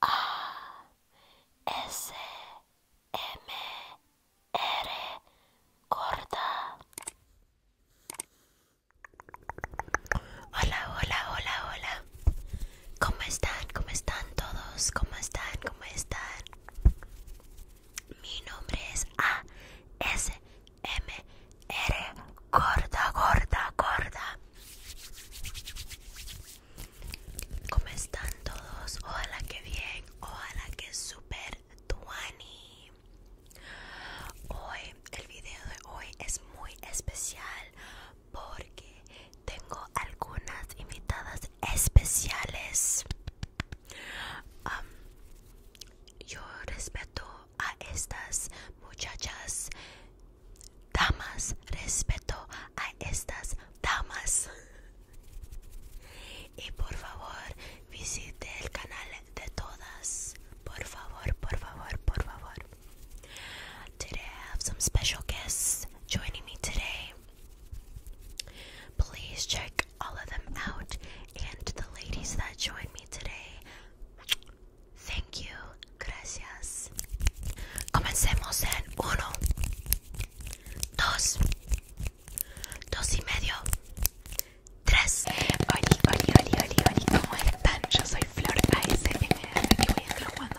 A S M R corta. Hola, hola, hola, hola. ¿Cómo están? ¿Cómo están todos? ¿Cómo están? ¿Cómo están? Mi nombre es A S M R gorda gorda gorda. ¿Cómo están todos? Ojalá que bien, ojalá que super tuani. Hoy, el video de hoy es muy especial porque tengo algunas invitadas especiales. yo respeto a estas muchachas Damas, respeto a estas damas. Y por favor, visite el canal de todas. Por favor, por favor, por favor. Today I have some special guests joining me today. Please check all of them out and the ladies that joined me today. Thank you. Gracias. Comencemos en uno, dos, dos y medio, tres. Oli, oli, oli, oli, ¿Cómo están? Yo soy Flor voy a jugando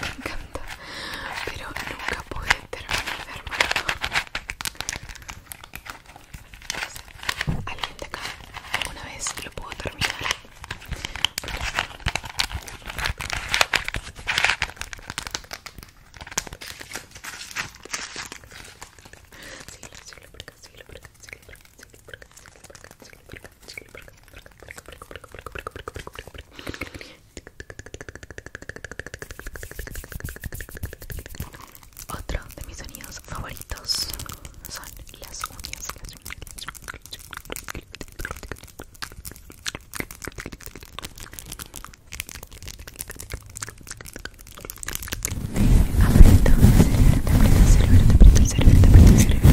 me encanta pero nunca pude terminar alguien de acá alguna vez lo pudo terminar otro de mis sonidos favoritos son las uñas. Las uñas, las Aprieto, te aprieto, cerebro, te aprieto, cerebro, te aprieto, cerebro.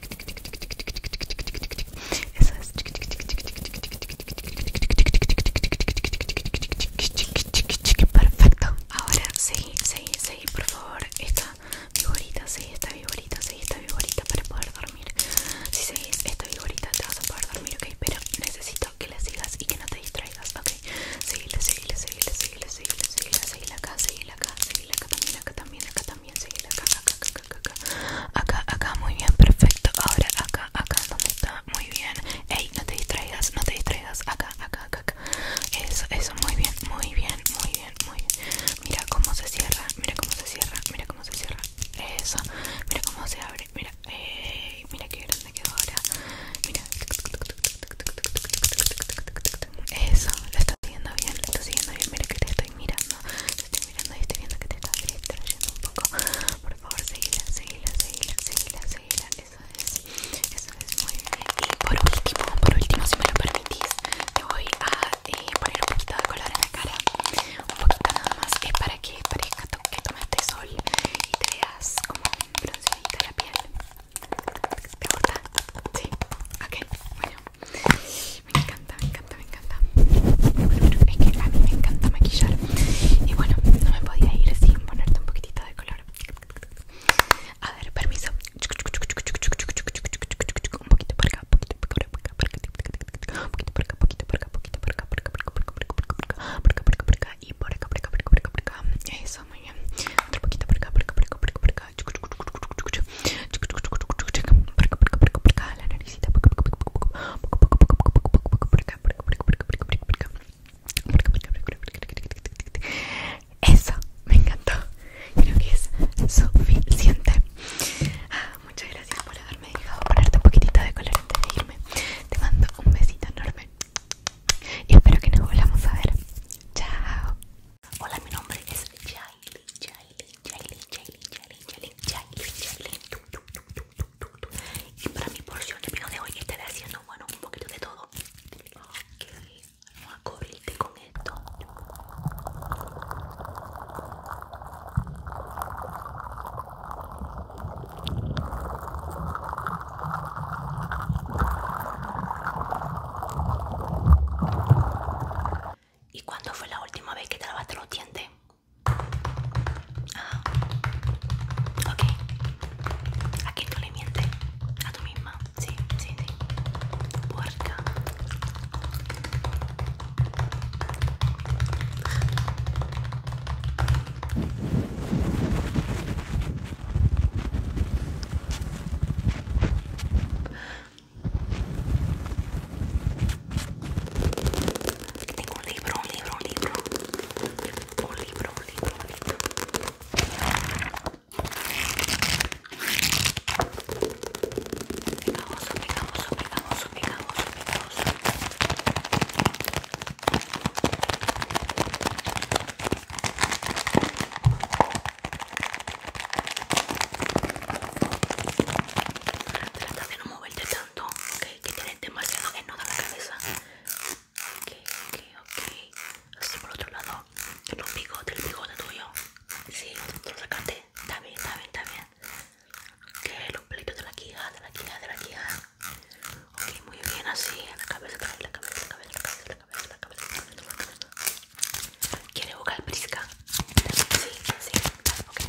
Eso es. Perfecto. Ahora seguí, seguí, seguí, por favor. Esta seguí esta seguí esta para poder dormir. Si seguís esta te vas a poder dormir, ok. Pero necesito que la sigas y que no te distraigas, ok. también, acá también acá, acá, muy bien, perfecto. Ahora acá, acá, donde está, muy bien. Ey, no te distraigas, no te distraigas. Acá, acá, acá, Eso, eso, muy bien, muy bien, muy bien, muy bien. Mira cómo se cierra, mira cómo se cierra, mira cómo se cierra. Eso, mira cómo se abre, mira, mira qué grande quedó ahora. Mira. Eso, lo estás haciendo bien, lo estás haciendo bien, mira que te estoy mirando, mirando y estoy viendo que te está distrayendo un poco. Por favor, seguila, seguila, seguila, seguila, seguila. Eso es, eso es muy bien. Y por último, por último, si me lo permitís, te voy a eh, poner un poquito de color en la cara. Un poquito nada más, es para que parezca que tomaste sol y te veas como bronceadita la piel. ¿Te gusta? Sí, ok, bueno. Me encanta, me encanta, me encanta. me encanta maquillar. Y bueno, no me podía ir sin ponerte un poquitito de color. A ver, permiso. Un poquito por acá, un poquito por acá, un poquito poquito y por acá, Eso, muy Otro poquito eso, me encantó. Creo que es suficiente. muchas gracias por haberme dejado ponerte un poquitito de color antes de irme. Te mando un besito enorme. Y espero que nos volvamos a ver. Chao. Hola, mi nombre es Jaili y para mi porción de pino de hoy estaré haciendo bueno un poquito de todo ok vamos a cubrirte con esto ¿Y cuándo fue la última vez que te lavaste los dientes? Okay, ah, ok. Aquí no le mientes a tu misma. Sí, sí, sí. Porca tengo un libro, un libro, un libro. Un libro, un libro, un libro. Pegajoso, pegajoso, pegajoso, pegajoso, pegajoso. Trata de no moverte tanto ok, que tienen demasiado enojo en la cabeza. Ok, ok, ok. Así por otro lado, el bigotes, el bigote tuyo. Sí, lo, sacaste. también también también. bien, Ok, los pelitos de la quija, de la quija, de la quija. Ok, muy bien, así, en la cabeza, en la cabeza, en la cabeza, en la cabeza, en la cabeza, cabeza. ¿Quiere buscar Prisca. Sí, sí, ok.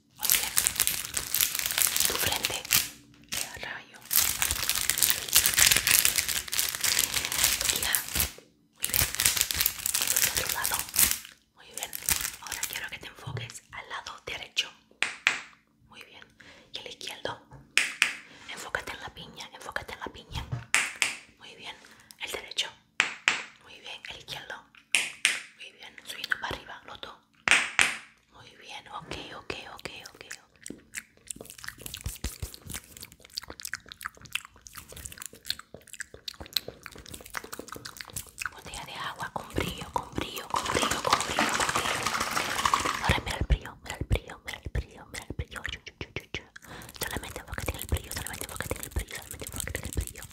Muy bien. Tu frente. rayo. Muy bien. otro lado. Muy bien. Ahora quiero que te enfoques al lado derecho. Muy bien. Y el izquierdo. Enfócate en la piña. Enfócate en la piña. Muy bien. El derecho. Muy bien, el izquierdo. Muy bien, subiendo para arriba, lo dos. Muy bien, ok, ok, ok, ok. Botella de agua con brillo, con brillo, con brillo, con brillo. Ahora mira el brillo, mira el brillo, mira el brillo, mira el brillo. Solamente enfócate en el brillo, solamente enfócate en el brillo, solamente enfócate en el brillo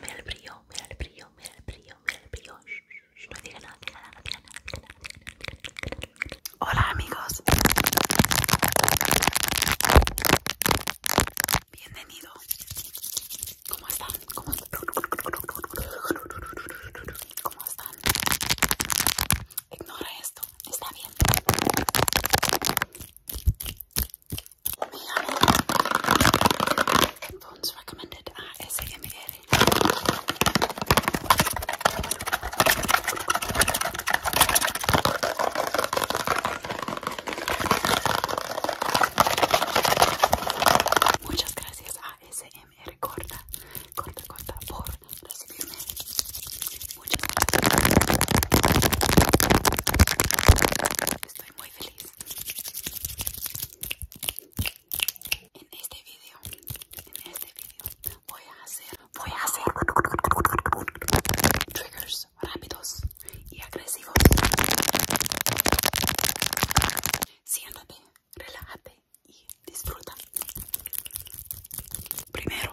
mira el brillo, mira el brillo, mira el brillo, mira el brillo. no diga nada, nada, nada. Hola amigos. Bienvenido. ¿Cómo están? ¿Cómo están? Ignora esto, está bien. Phones recommended at Muchas gracias a SM Corta, Corta, Corta Estoy muy En este video, en este voy a hacer, voy a hacer triggers rápidos y agresivos. Siéntate, relájate y disfruta. Primero,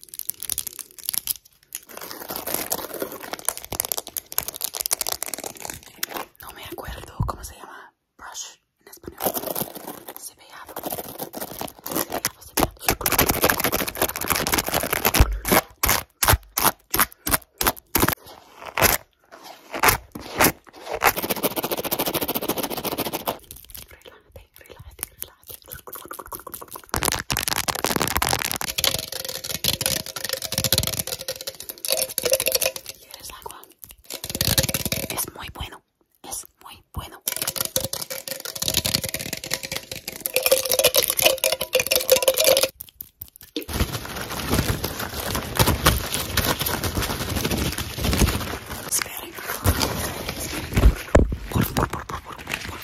No me acuerdo cómo se llama brush en español. relájate, relájate. ¿Quieres agua? Es muy bueno, es muy bueno. Espera por favor, por por por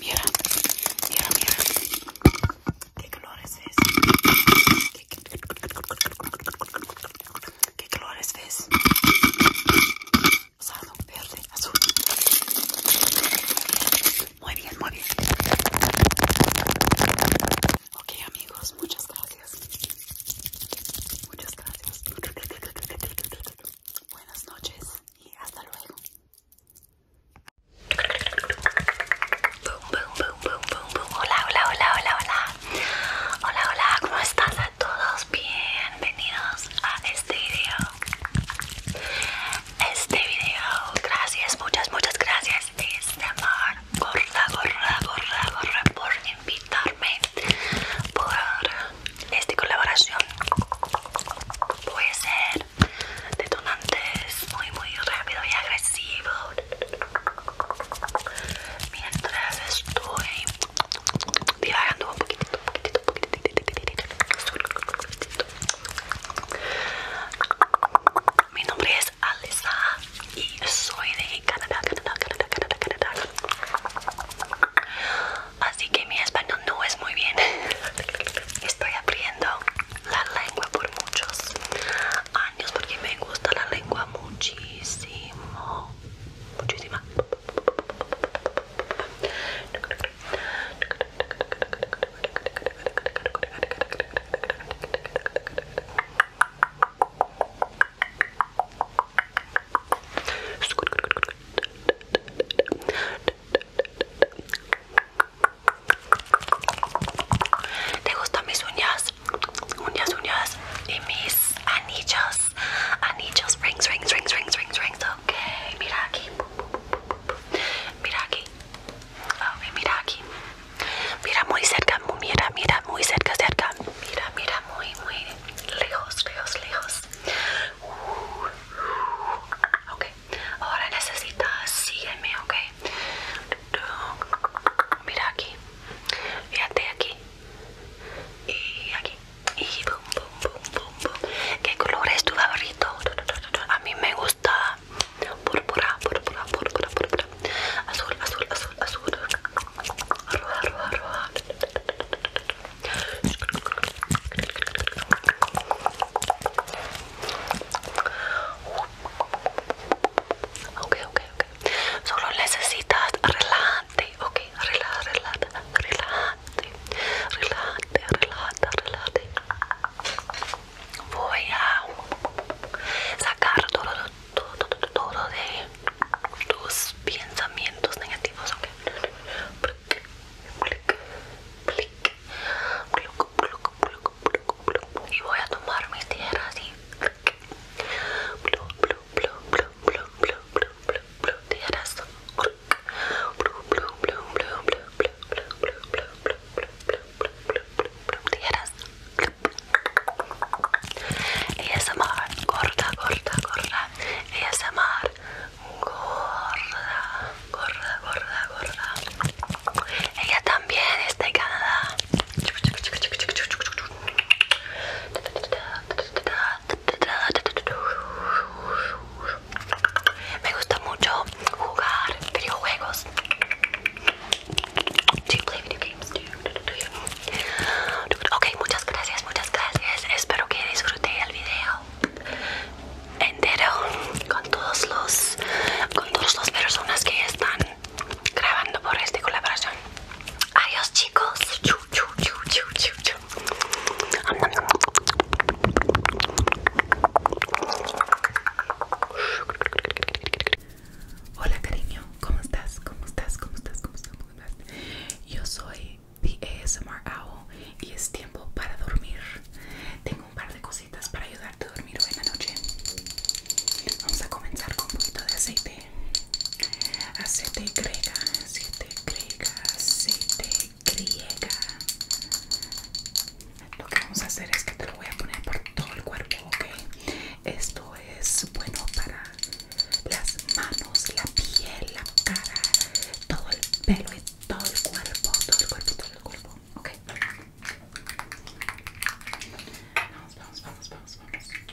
Mira, mira, mira. ¿Qué color es ese? ¿Qué colores ves? Rosado, verde, azul. Muy bien, muy bien. Ok, amigos, muchas gracias. Muchas gracias. Buenas noches y hasta luego. Hola, hola, hola, hola, hola. Hola, hola, ¿cómo están a todos? Bienvenidos a este video. Este video, gracias, muchas, muchas gracias, este amor, gorra, por gorra, gorra, por invitarme, por esta colaboración. Puede ser detonantes muy, muy rápido y agresivo. Mientras estoy un poquitito, un poquitito, un poquitito. Mi nombre es Alisa y soy de Canadá, Canadá, Canadá, Canadá, Canadá. Así que mi español no es muy bien. Estoy aprendiendo la lengua por muchos años porque me gusta la lengua muchísimo. Muchísima. ¿Te gustan mis uñas? Uñas, uñas y mis anillos. Anillos, rings, rings, rings, rings, rings, rings. Ok, mira aquí. Mira aquí. Ok, mira aquí. Mira muy cerca, mira, mira, muy cerca, cerca. Mira, mira, muy, muy lejos, lejos, lejos. Uh, ok, ahora necesitas, sígueme, ok. Mira aquí. Fíjate aquí. Y aquí. Y boom, boom, boom, boom, ¿Qué color es tu favorito? A mí me gusta púrpura, púrpura, púrpura, púrpura. Azul, azul, azul, azul. Roja, roja, roja. Ok, ok, ok. Solo necesitas relajar ok, relaja, relaja, relájate relájate relájate relájate Voy a sacar todo, de tus pensamientos negativos, ok. Y voy a tomar mi tierra así blue, arazo. Ella es gorda, gorda, gorda. es gorda, gorda, gorda, gorda. Ella también es de Canadá. Me gusta mucho jugar videojuegos. Ok, muchas gracias, muchas gracias. Espero que disfrute el video entero con todos los con todas las personas que están grabando por esta colaboración. Adiós chicos. Hola cariño, ¿cómo estás? ¿Cómo estás? ¿Cómo estás? ¿Cómo estás? Yo soy The ASMR Owl y es tiempo para dormir. Tengo un par de cositas para ayudarte a dormir hoy en la noche. Vamos a comenzar con un poquito de aceite aceite griega, aceite griega, aceite griega. Lo que vamos a hacer es que te lo voy a poner por todo el cuerpo, ¿ok? Esto es bueno para las manos, la piel, la cara, todo el pelo y todo el cuerpo, todo el cuerpo, todo el cuerpo, ¿ok? Vamos, vamos, vamos, vamos, vamos.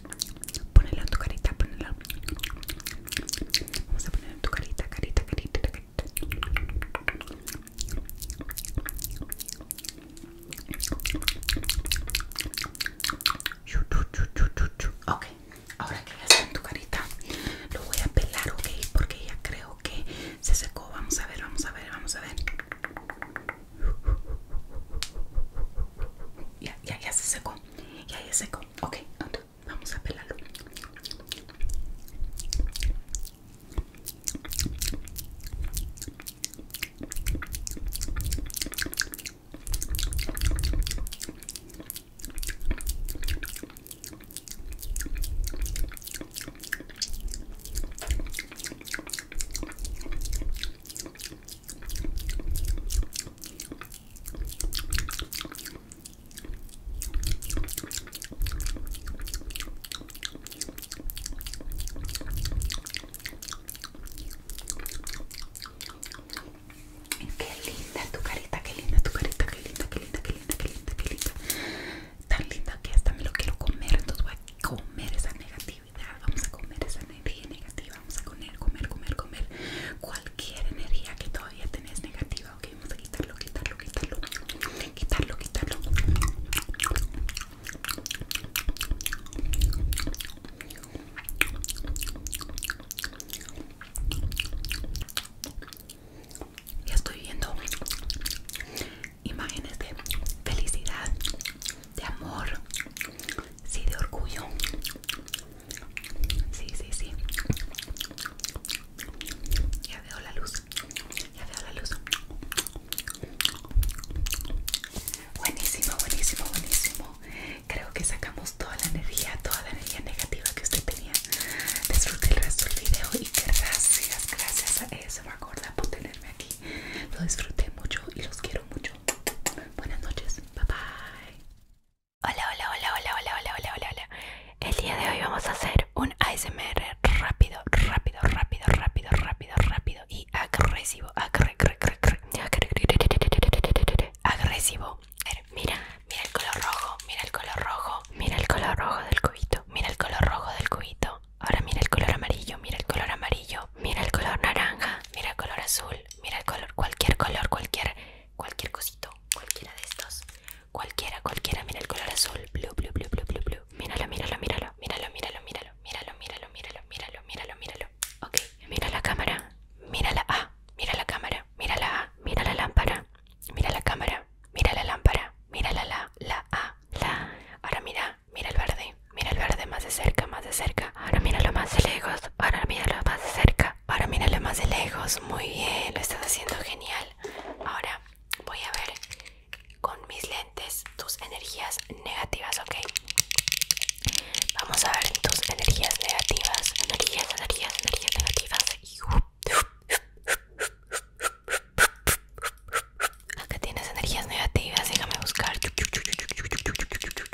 Ponelo en tu carita, ponela, Vamos a poner en tu carita, carita, carita, carita. Ok, ahora que ya está en tu carita, lo voy a pelar, ok, porque ya creo que se secó. Vamos a ver, vamos a ver, vamos a ver. Ya, ya, ya se secó. Ya, ya se secó. vamos a pelarlo. Qué linda tu carita, qué linda tu carita, qué linda, qué linda, qué linda, qué linda, qué linda. Tan linda que hasta me lo quiero comer, entonces voy a comer esa negativa vamos a comer esa energía negativa, vamos a comer, comer, comer, comer cualquier energía que todavía tenés negativa, ok, vamos a quitarlo, quitarlo, quitarlo, quitarlo, quitarlo. Ya estoy viendo imágenes de felicidad, de amor, sí, de orgullo, Sí, sí, sí. Ya veo la luz. Ya veo la luz. Buenísimo, buenísimo, buenísimo. Creo que sacamos toda la energía, toda la energía negativa que usted tenía. Disfrute el resto del video y gracias, gracias a eso, Gorda por tenerme aquí. Lo disfruté mucho y los quiero mucho. Buenas noches. Bye bye. Hola, hola, hola, hola, hola, hola, hola, hola, hola. El día de hoy vamos a hacer un ASMR rápido, rápido, rápido, rápido, rápido, rápido y agresivo, agresivo, agresivo. Mira, mira el color rojo, mira el color rojo, mira el color rojo del cubito, mira el color rojo del cubito. Ahora mira el color amarillo, mira el color amarillo, mira el color naranja, mira el color azul, Mira el color, cualquier color, cualquier, cualquier cosito, cualquiera de estos. Cualquiera, cualquiera, mira el color azul, blu, blu, blu, blu, blu, blue. Míralo, míralo, míralo, míralo, míralo, míralo, míralo, míralo, míralo, míralo, míralo, míralo. Ok, mira la cámara, mira la A, mira la cámara, mira la mira la lámpara, mira la cámara, mira la lámpara, mira la la, la A, la. Ahora mira, mira el verde, mira el verde más de cerca, más de cerca ahora míralo más de lejos, ahora míralo más de cerca, ahora míralo más de lejos, muy bien, lo estás haciendo genial. Ahora voy a ver con mis lentes tus energías negativas, ¿ok? Vamos a ver tus energías negativas, energías, energías, energías negativas. Acá tienes energías negativas, déjame buscar.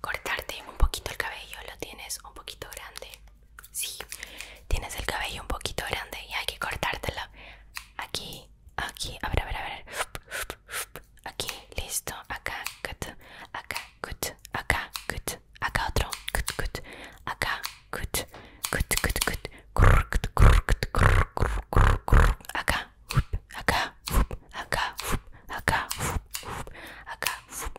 cortarte un poquito el cabello, lo tienes un poquito grande. Sí, tienes el cabello un poquito grande y hay que cortártelo. Aquí, aquí, a ver, a ver, a ver. Aquí, listo, acá, cut, acá, cut, acá, cut, acá otro, cut, cut, acá, cut, cut, cut, cut, cut, cut, acá, acá, acá, acá, acá, acá, acá,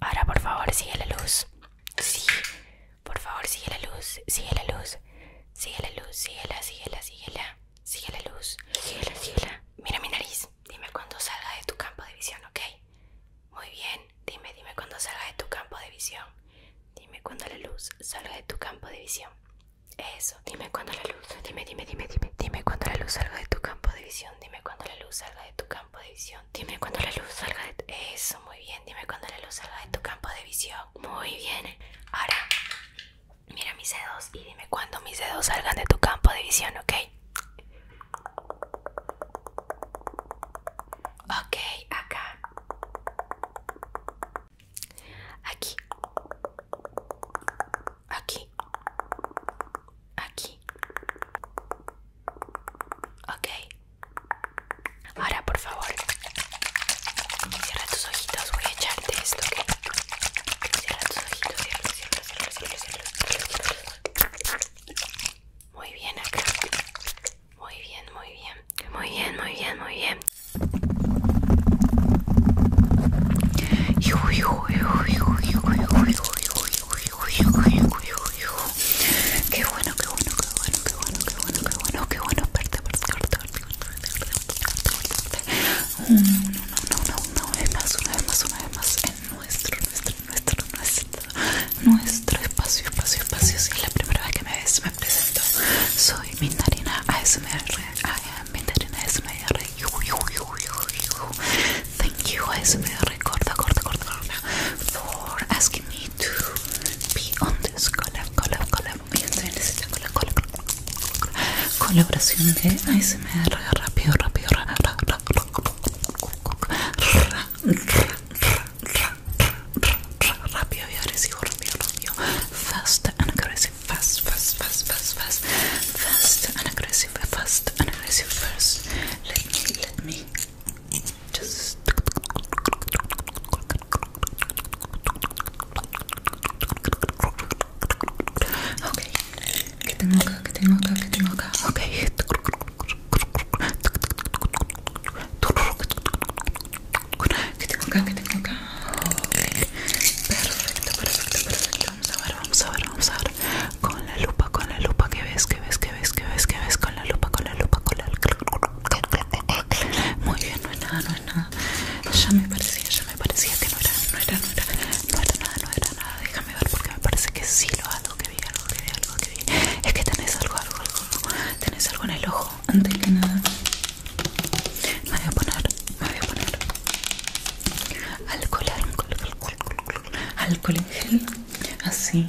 Ahora por favor sigue la luz. Sí. Por favor sigue la luz. Sigue la luz. Sigue la luz. la. Sigue la. Sigue la luz. Sigue luz. Mira mi nariz. Dime cuando salga de tu campo de visión, ¿ok? Muy bien. Dime, dime cuando salga de tu campo de visión. Dime cuando la luz salga de tu campo de visión. Eso. Dime cuando la luz. Dime, dime, dime, dime. Dime cuando la luz salga de tu campo de visión. Dime cuando la luz salga tu campo de visión. Dime cuando la luz salga de Eso, muy bien. Dime cuando la luz salga de tu campo de visión. Muy bien. Ahora, mira mis dedos y dime cuando mis dedos salgan de tu campo de visión, ¿ok? Ok, acá. Aquí. Aquí. Aquí. Ok. Ahora, por favor, cierra tus ojitos. Voy a echarte esto, ¿ok? Cierra tus ojitos, cierra, cierra, cierra, cierra, cierra. Muy bien, acá. Muy bien, muy bien. Muy bien, muy bien, muy bien. Uy, uy, uy, uy, uy, uy, uy, uy, uy, uy, uy, uy, qué bueno, qué bueno, qué bueno, qué bueno, qué bueno, qué bueno, qué bueno, verte, verte, verte, verte, verte, verte, no, no, no, una vez más, una vez más, una vez más en nuestro, nuestro, nuestro, nuestro, nuestro espacio, espacio, espacio, Y la primera vez que me ves, me presento, soy Mindarina ASMR, Mindarina uy Thank you, ASMR Corda, Corda, Corda, Corda, for asking me to be on this collab, collab, collab. Fíjense en esta collab, collab, collab, colaboración de ASMR rápido, rápido, ra, ra, ra, ra, ra, ra, rápido y agresivo, rápido, rápido, fast and aggressive, fast, fast, fast, fast, fast, fast and aggressive, fast and aggressive, first. Let me, let me. Just Okay. Getting longer, getting longer, getting longer. Okay. Getting longer, getting longer. Okay. Perfecto, perfecto, perfecto. Vamos a ver, vamos a ver, vamos a con la lupa, con la lupa que ves, que ves, que ves, que ves, que ves, con la lupa, con la lupa, con la lupa, Muy bien, no es nada, no es nada. Ya me parecía, ya me parecía que no era, no era, no era, no era nada, no era nada. Déjame ver porque me parece que sí lo hago, que vi, algo que vi, algo que vi. Es que tenés algo, algo, algo, tenés algo en el ojo, antes que nada. Me voy a poner, me voy a poner alcohol, alcohol, alcohol, alcohol, alcohol en gel, así.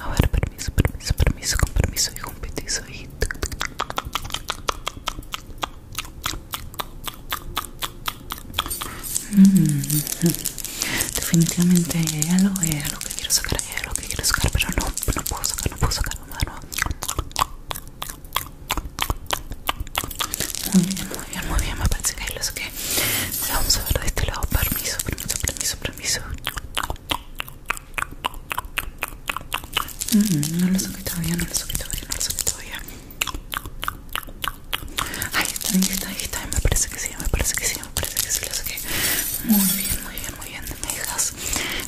A ver, permiso, permiso, permiso, con permiso y un petiso y... Mm. Definitivamente es lo es lo que quiero sacar, es lo que quiero sacar, pero no, no puedo sacar, no puedo sacar, no, no. Muy bien, muy bien, muy bien, me parece que ahí lo saqué. vamos a ver de este lado. Permiso, permiso, permiso, permiso. Mm, no lo que todavía, no lo que todavía, no lo que todavía. Ahí está, ahí está, ahí Me parece que sí, me parece que sí, me parece que sí lo saqué. Muy bien, muy bien, muy bien. Me dejas,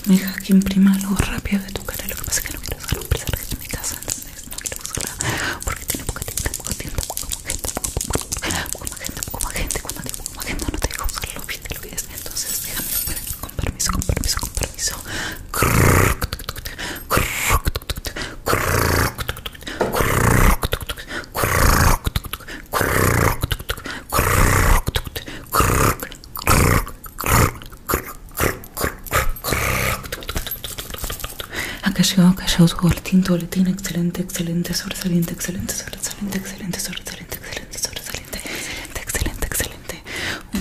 me dejas que imprima algo rápido de tu cara. Lo que pasa es que no quiero usar un presente en mi casa, entonces no quiero usarla porque tiene poca tinta, poca como gente, como gente, como gente, como gente, como gente, no te dejo usarlo bien de que Entonces, déjame con permiso, con permiso, con permiso. Acá llegó, acá llegó su boletín, tu boletín, excelente, excelente, sobresaliente, excelente, sobresaliente, excelente, sobresaliente, excelente, sobresaliente, excelente, excelente, excelente.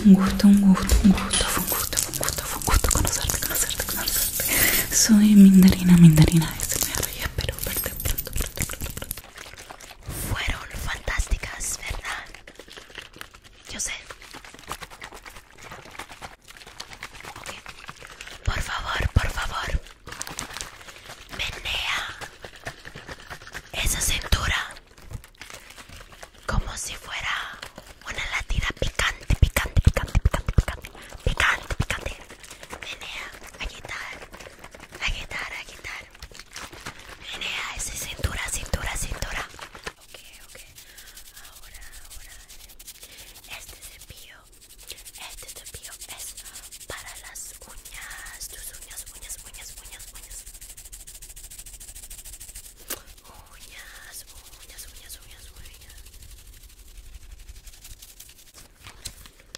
Un gusto, un gusto, un gusto, fue un gusto, fue un gusto, fue un gusto conocerte, conocerte, conocerte. Soy Mindarina, Mindarina, es este me arreglé, espero verte pronto, pronto, pronto. Fueron fantásticas, ¿verdad? Yo sé. Por favor, por favor. Menea esa cintura como si fuera una latida picante, picante, picante, picante, picante, picante, picante. Menea, agitar, agitar, agitar. Menea esa cintura, cintura, cintura. okay, okay, Ahora, ahora. Este cepillo este cepillo es para las uñas, tus uñas, uñas, uñas, uñas, uñas. Uñas, uñas, uñas, uñas, uñas.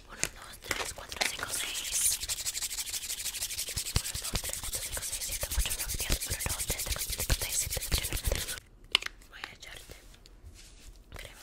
1, 2, 3, 4, 5, 6. 1, 2, tres, 4, 5, 6, 7, 8, 9, 10. 1, 2, 3, 4, 5, 6, Voy a echarte crema.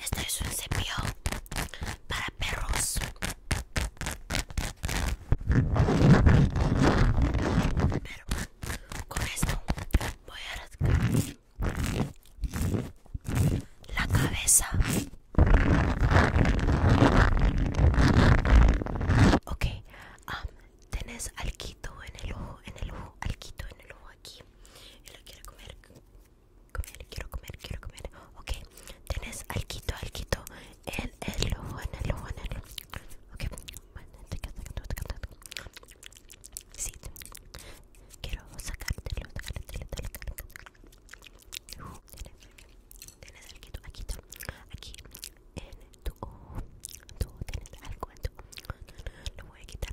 esto es un cepillo para perros. Pero con esto voy a rascar la cabeza. Ok, tienes tenés alquito en el ojo, en el ojo, alquito en el ojo aquí. Y lo quiero comer comer, quiero comer, quiero comer. Ok, tienes alquito, alquito. El, el ojo en el ojo en el. Ok, sí, quiero sacártelo, sacártelo, sacártelo. Tienes uh, alquito, aquí, aquí en tu Tú tienes algo en Lo voy a quitar.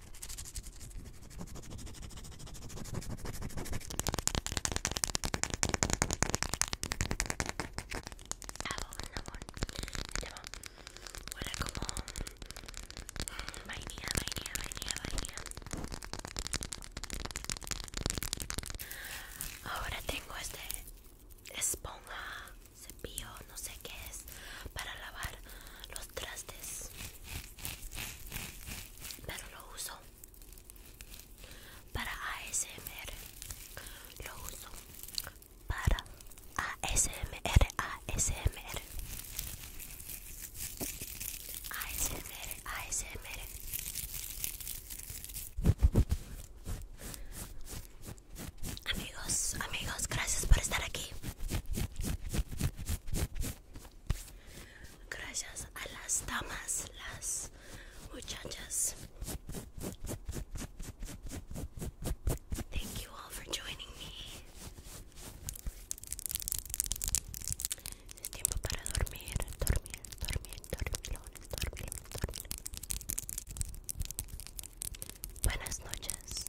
Hago un amor. Huele como mm, vainilla, vainilla, vainilla, vainilla. Ahora tengo este esponja, cepillo, no sé qué es, para lavar los trastes pero lo uso para ASMR lo uso para ASMR ASMR ASMR ASMR Amigos, amigos, gracias por estar aquí. Gracias a las damas, las muchachas. Thank you all for joining me. Es tiempo para dormir, dormir, dormir, dormir dormir, Buenas noches.